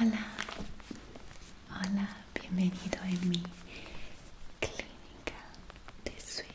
Hola, hola, bienvenido en mi clínica de sueño.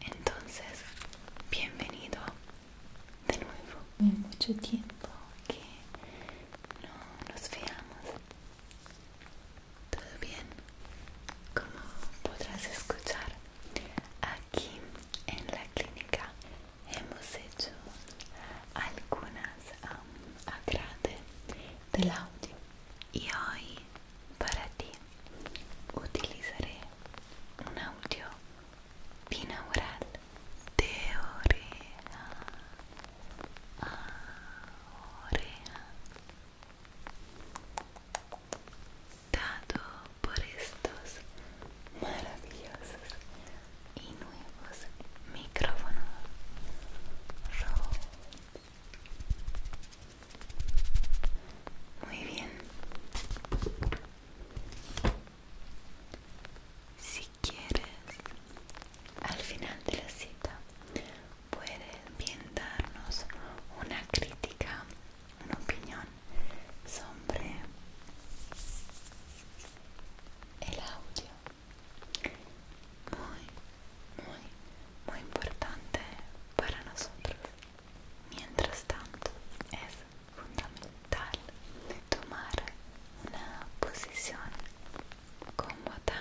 Entonces, bienvenido de nuevo. en mucho tiempo que no nos veamos. ¿Todo bien? Como podrás escuchar, aquí en la clínica hemos hecho algunas a agrade del audio y hoy para ti utilizaré un audio binaural de oreja dado por estos maravillosos y nuevos micrófonos muy bien. Si quieres, al final de la cita puedes bien darnos una crítica, una opinión sobre el audio. Muy, muy muy importante para nosotros. Mientras tanto, es fundamental tomar una posición cómoda.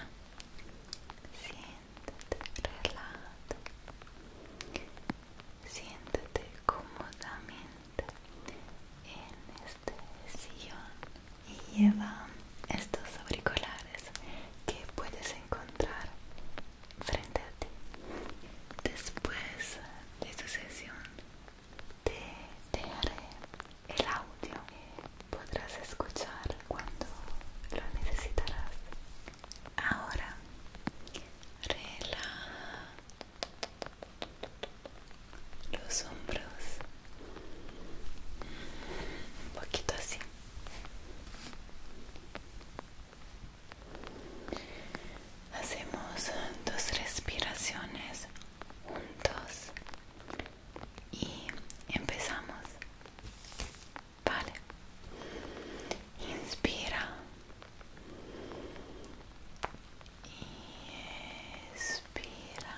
Siéntate relajado. Siéntate cómodamente en este sillón y lleva estos auriculares que puedes encontrar frente a ti. Después de su sesión te dejaré el audio que podrás escuchar cuando lo necesitarás. Ahora relaja los hombros un poquito así Hacemos dos respiraciones juntos y empezamos. Vale. Inspira. Inspira.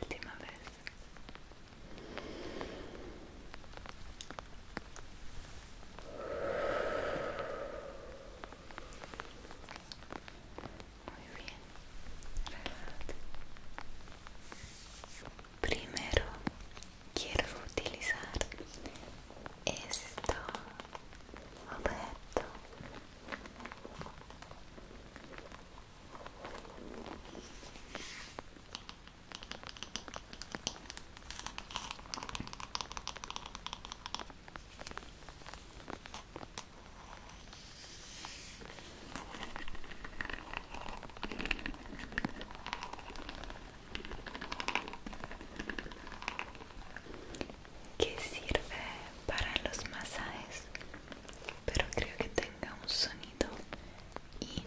Última vez. Muy bien. Primero quiero utilizar esto objeto que sirve para los masajes pero creo que tenga un sonido increíble.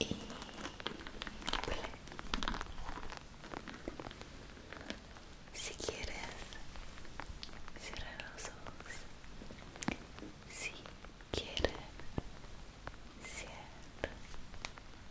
Y... Si quieres, cierra los Si quieres, cierra los ojos.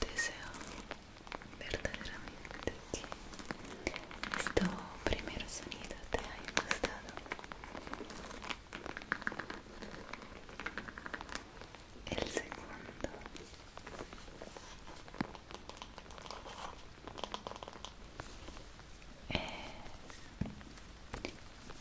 Deseo verdaderamente que este primer sonido te haya gustado. El segundo. Eh,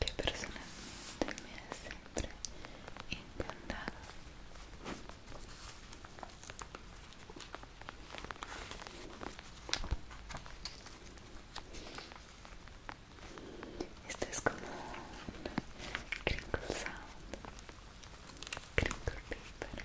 que personalmente me ha siempre encantado. Este es como un crinkle sound, crinkle paper.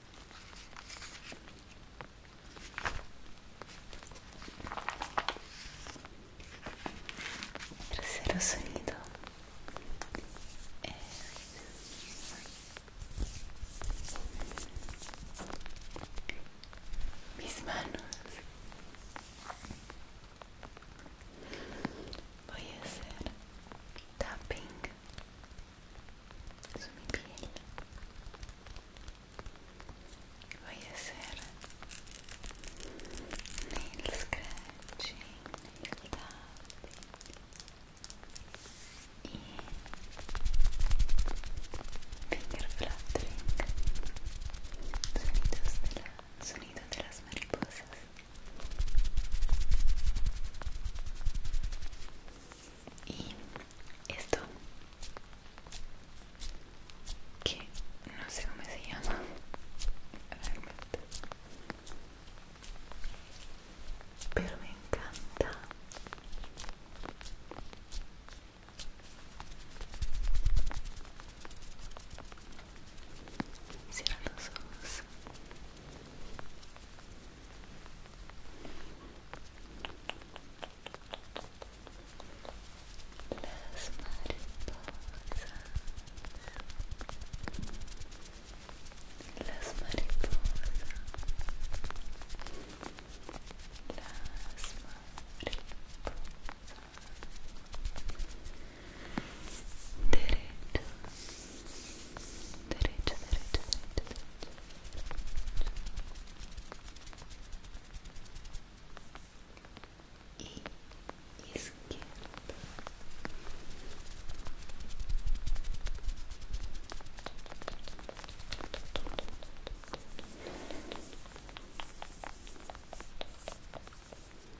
Tercero sonido es mis manos. Voy a hacer tapping sui miei piedi voy a hacer nail scratching, nail tapping y finger fluttering sonidos de, la, sonido de las mariposas y esto que no sé cómo se llama pero me encanta los ojos las mariposas. Las mariposas. Las mariposas. Las derecho derecho, derecho, derecho, derecho.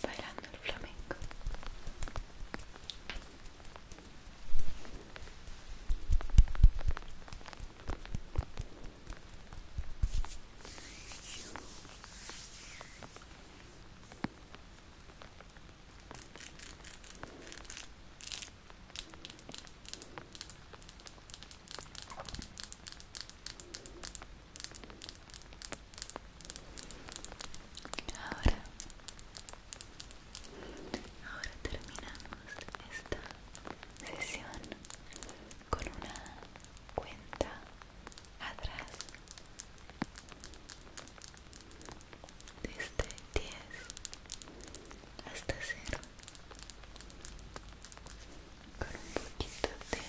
Bailando el flamenco. Ahora, ahora terminamos esta sesión con una cuenta atrás desde 10 hasta 0 con un poquito de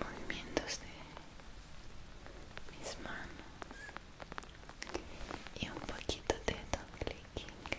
movimientos de mis manos y un poquito de doble clic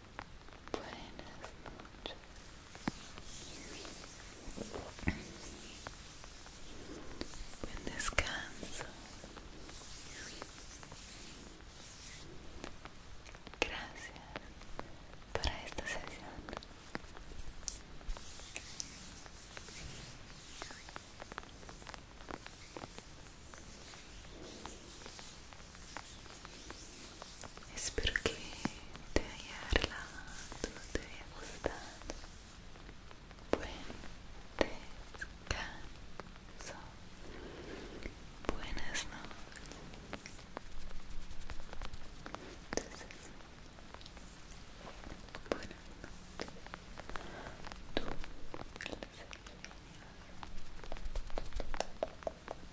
Buenas noches. Buen descanso. Gracias para esta sesión. Espero que te haya relajado, te haya gustado. Buen descanso. Buenas noches. Entonces, buenas noches. Tú,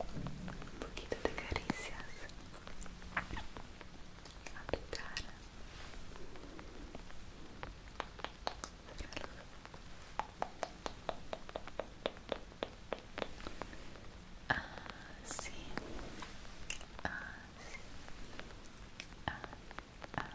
um pouquinho de carícias na tua cara ah, sim. Ah, ah, ah.